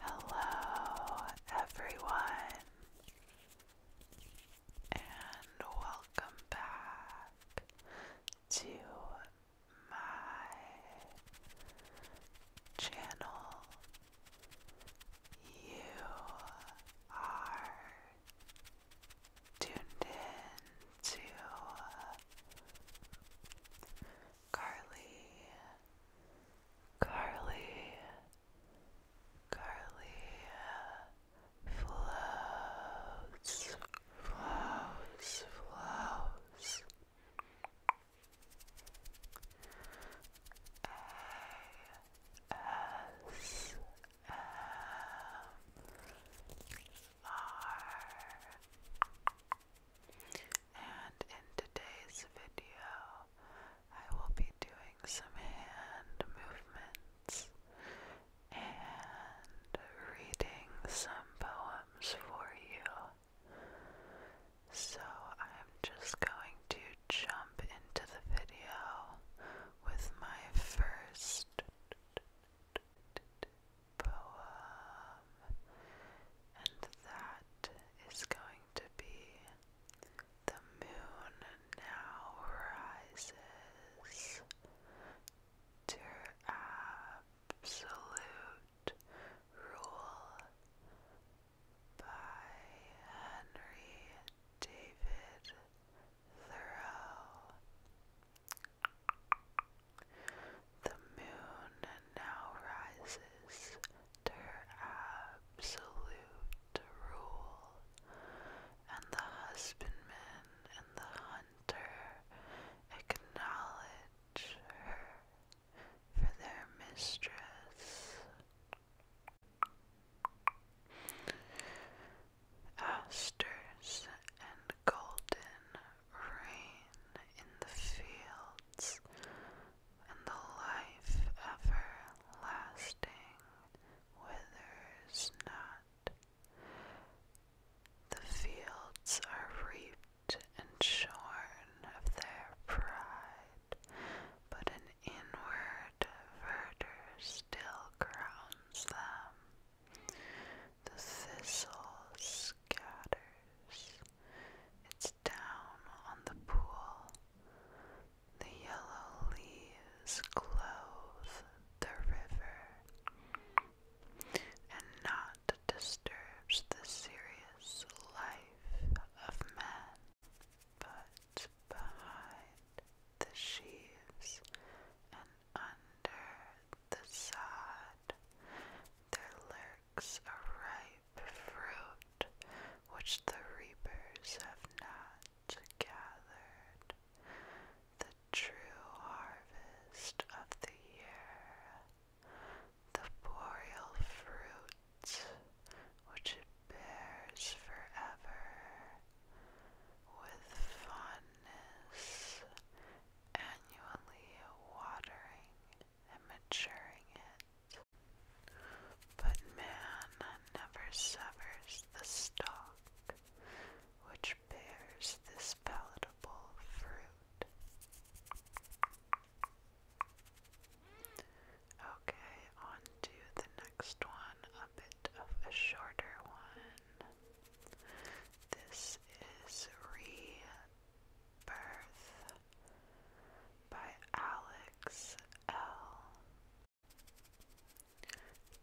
Hello, everyone, and welcome back to my channel. You are tuned in to Carly, Carly, Carly floats flows, flows. A S M R. And in today's video, I will be doing some hand movements and reading some poems for you. So I'm just going to jump into the video with my first poem, and that is going to be The Moon Now Rises. Dear absolute rule by Henry David Thoreau. The moon now rises to her absolute rule, and the husbandman and the hunter acknowledge for their mistress. Asters and golden rain in the fields, and the life everlasting withers not. The fields are reaped and shorn of their pride, but an inward verdure still crowns them. The thistle scatters, it's down on the pool. The yellow leaves clothe the river and not disturbs the serious life of men, but behind the sheaves and under the sod there lurks a ripe fruit which the reapers have not gathered. The true harvest of the year the boreal fruit which it bears forever with fondness, annually watering and maturing it. But man never severs the stalk which bears this palatable fruit. Okay, on to the next one, a bit of a shorter one. This is Rebirth by Alex L.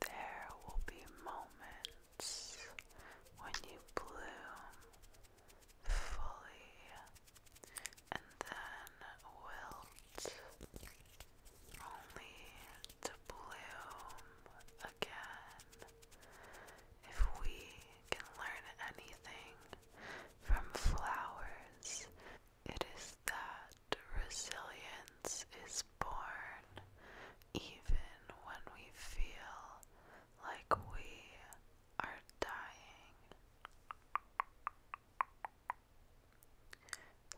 There will be moments when you bloom fully and then wilt only to bloom again. If we can learn anything from flowers, it is that resilience is born even when we feel like we are dying.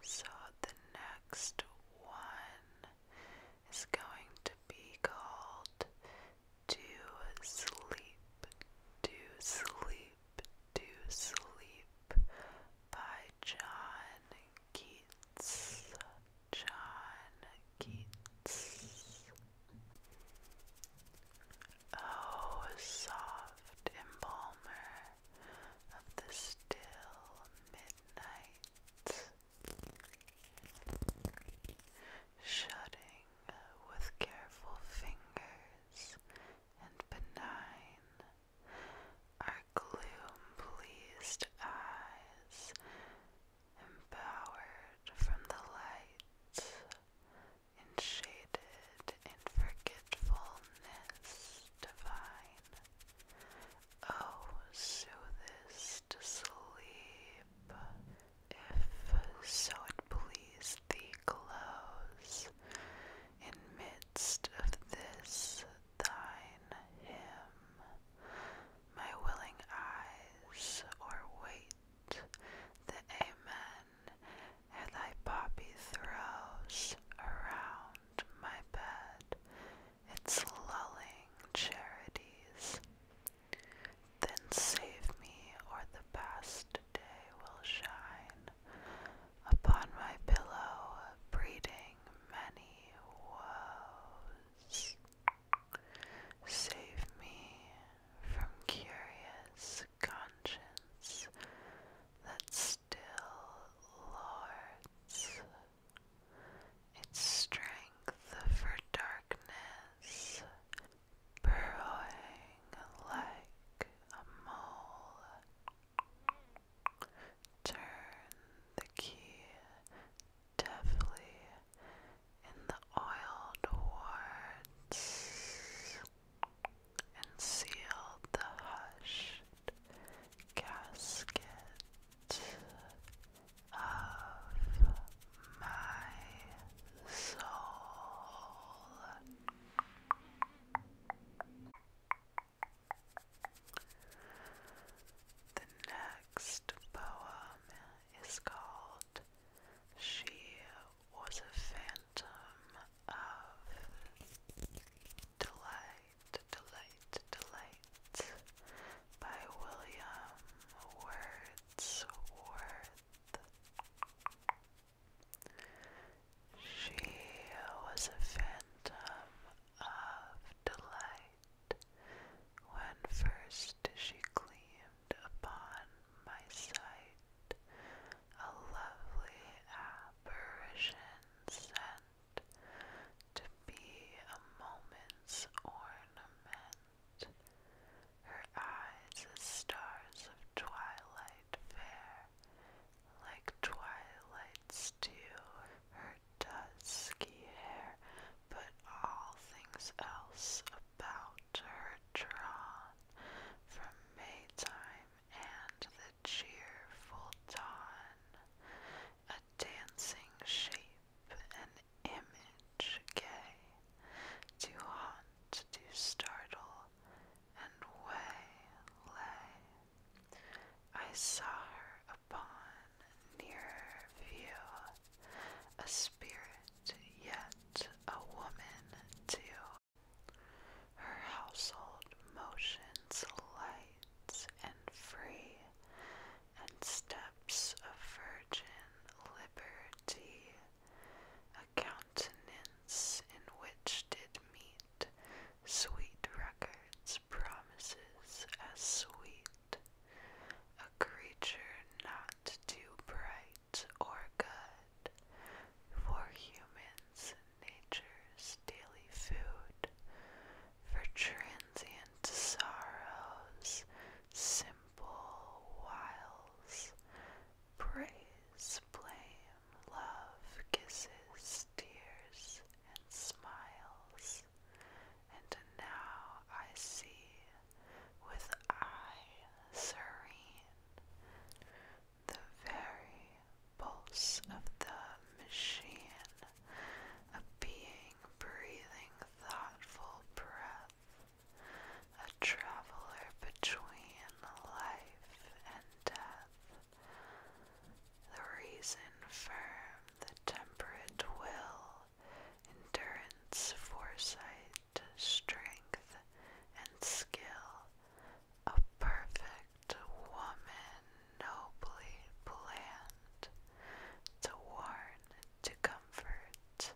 So the next one is going to be called To Sleep, To Sleep, To Sleep by John Keats. John Keats. Oh, soft embalmer of the still midnight, shutting with careful fingers and benign our gloom pleased eyes empowered from the light and shaded in forgetfulness divine. Oh, soothe us sleep, if so it please thee, close in midst of this thine hymn. My willing eyes, or wait the amen ere thy poppy throws around my bed its lulling charities. Then save me, or the past day will shine upon my pillow, breeding many woes. Save me from curious conscience that still lords its strength for darkness, burrowing like a mole. Turn the key deftly in the oil towards and sealed the hushed casket of my soul. The next poem is called She Was a Phantom of Delight, Delight, Delight by William Wordsworth. She was a phantom of delight when first she gleamed upon my sight a lovely apparition sent to be a moment's ornament. Her eyes as stars of twilight fair, like twilight's dew, her dusky hair, but all things else about drawn from Maytime and the cheerful dawn, a dancing shape, an image gay, to haunt, to startle, and way lay. I saw her upon nearer view, a spirit yet a woman to her household motions light and free, and steps of virgin liberty, a countenance in which did meet sweet records, promises as sweet, a creature not too bright or good for humans' nature's daily food, for transient sorrows, simple wiles, praise, blame, love, kisses, tears, and smiles. And now I see with eye serene, the very pulse of the machine, a being breathing thoughtful breath, a traveler between life and death. The reason firm, the temperate will endurance, foresight, strength, and skill, a perfect woman nobly planned to warn, to comfort,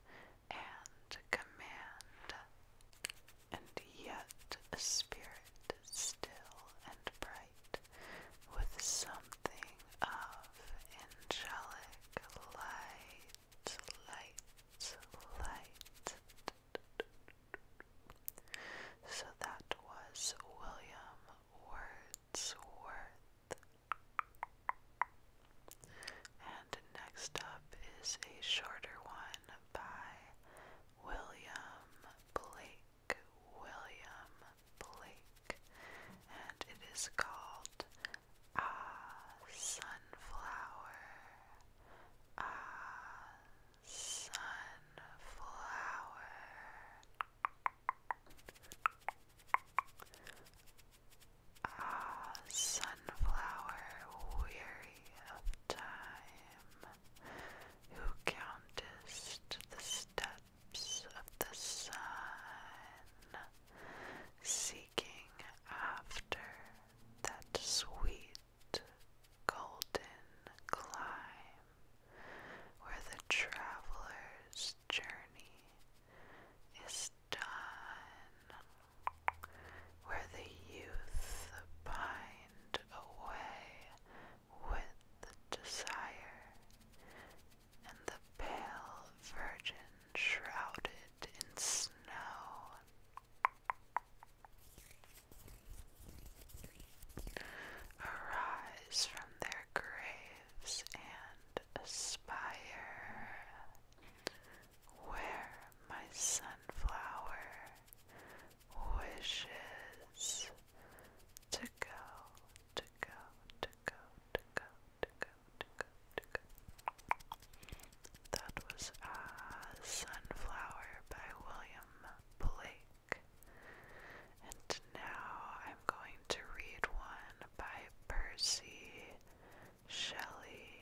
and command, and yet a spirit still and bright, with something of angelic light light, light. So that was William Wordsworth. And next up is a shorter one by William Blake. William Blake. And it is called Ah, sunflower. Ah, sunflower. Ah, sunflower, weary of time, who countest the steps of the sun, seeking after that sweet golden clime where the traveler's journey is done, where the youth bind away with desire, and the pale virgin shrouded in snow. Arise from their graves and aspire. Where my sunflower wishes to go, to go, to go, to go, that was uh, Sunflower by William Blake. And now I'm going to read one by Percy Shelley.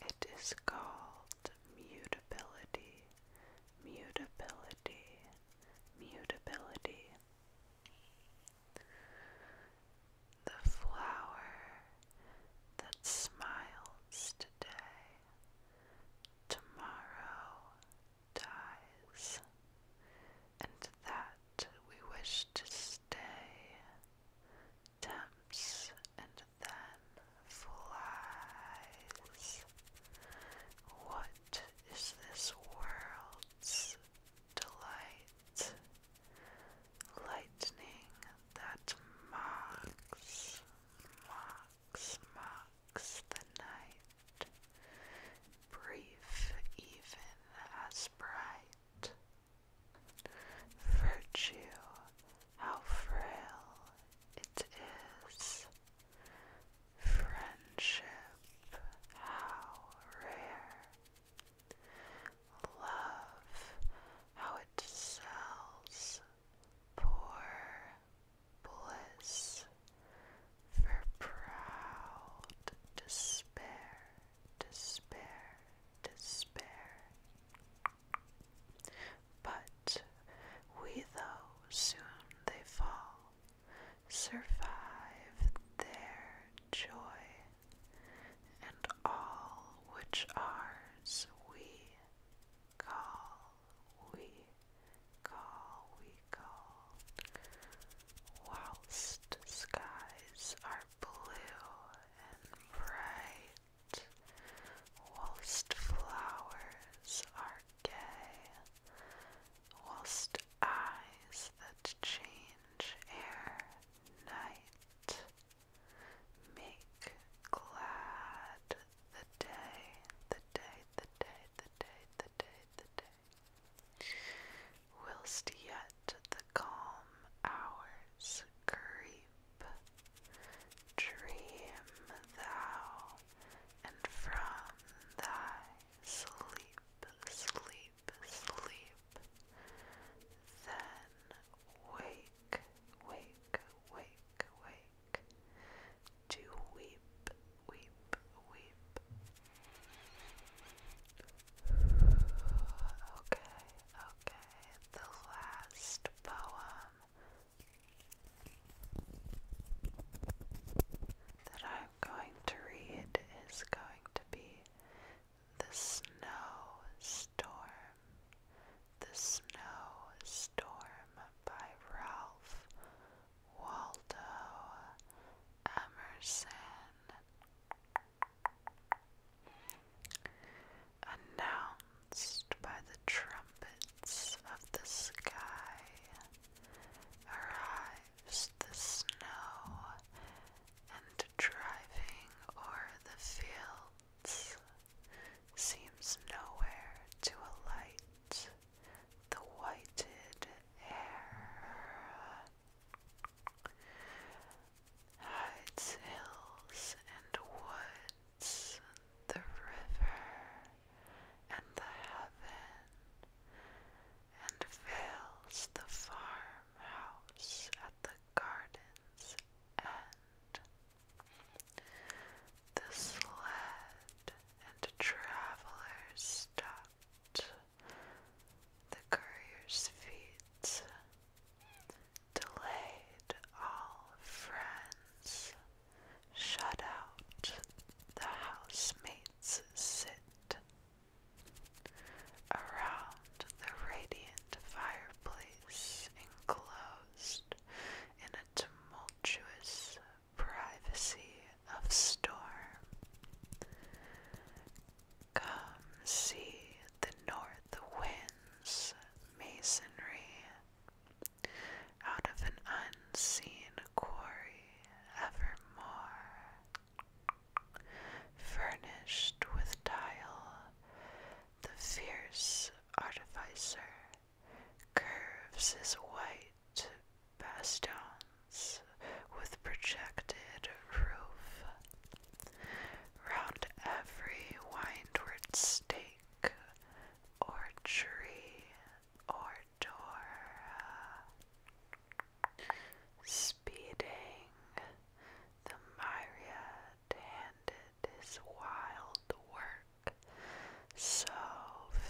It is called mutability, mutability, mutability. The flower that smiles today, tomorrow dies, and that we wish to stay tempts and then flies. What is this world's delight? lightning that mocks, mocks, mocks the night, brief even as bright. Virtue, how frail it is. Friendship, how rare. Love how it sells poor bliss for proud despair, despair, despair. But we, though soon they fall, survive their joy and all which ours we call, we call, we call, whilst skies are blue and bright, whilst flowers are gay, whilst eyes that change air night. Make glad the day, the day, the day, the day, the day, the day. Whilst yet the calm hours creep, dream thou, and from thy sleep, sleep sleep, then wake, wake, wake, wake, to weep, weep, weep. Okay, okay, the last poem that I'm going to read is going to be the Snow Storm. The Snow Storm by Ralph Waldo Emerson. Announced by the trumpets of the sky, arrive drives the snow and driving o'er the fields seems nowhere to alight the whited air hides hills and woods the river and the heaven and fills the farmhouse at the garden's end. The sled and travelers stopped. The courier's feet delayed all friends, shut out the housemates sit Around the radiant fireplace, enclosed in a tumultuous privacy of storm, come see the north wind's masonry out of an unseen quarry evermore. Furnished with tile, the fierce artificer curves his white bastions with projected roof. Round every windward stake or tree or door, speeding the myriad handed his wild work, so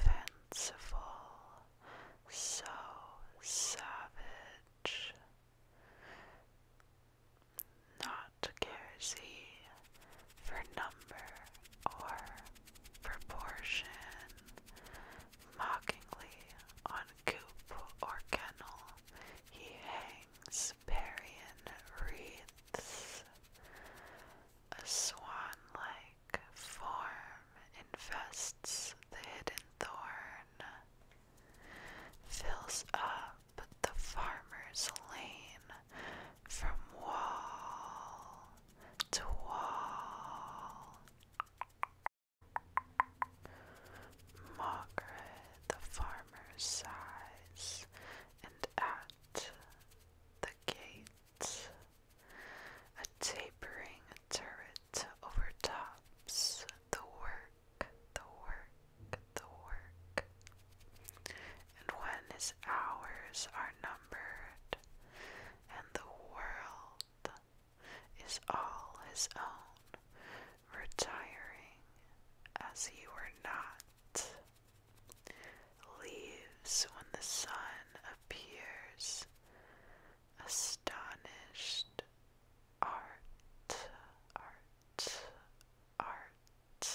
fanciful, so savage. Not cares he for number or proportion, mockingly on coop or kennel he hangs Parian wreaths, a swan-like form invests the hidden thorn, fills up the farmer's lane from wall to wall. Margaret the farmer sighs, and at the gates, a tapering turret overtops the work, the work, the work. And when his hours are numbered, and the world is all his own, retiring as you were not, leaves when the sun appears, astonished art, art, art,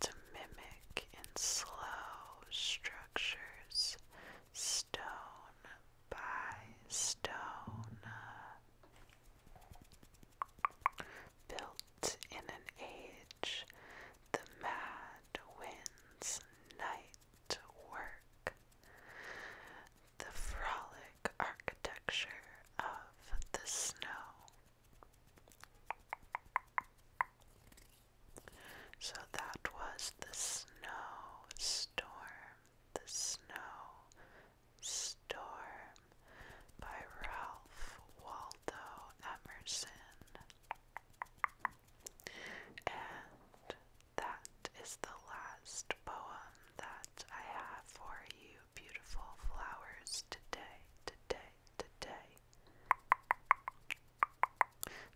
to mimic in slow structures stone by stone, uh, built in an age, the mad wind's night work, the frolic architecture of the snow. So that was the snow storm the Snow Storm by Ralph Waldo Emerson. And that is the last poem that I have for you, beautiful flowers, today, today, today.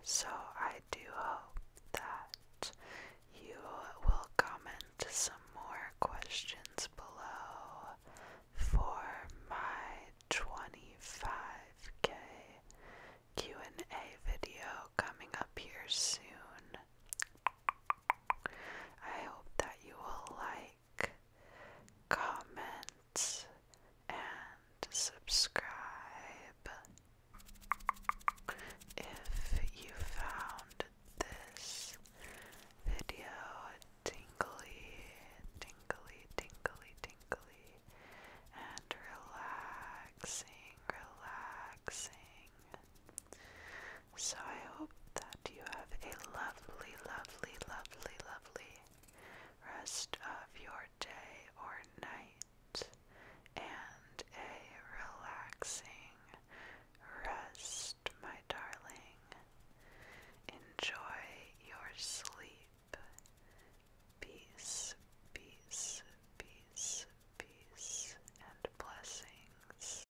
So I do hope that you will comment some more questions below for my 25k Q&A video coming up here soon. I hope that you will like, comment, and subscribe. If you found this video tingly, tingly, tingly, tingly, and relaxing, relaxing. So I hope that you have a lovely, lovely, lovely, lovely rest of your day or night and a relaxing, Rest, my darling. Enjoy your sleep. Peace, peace, peace, peace, and blessings.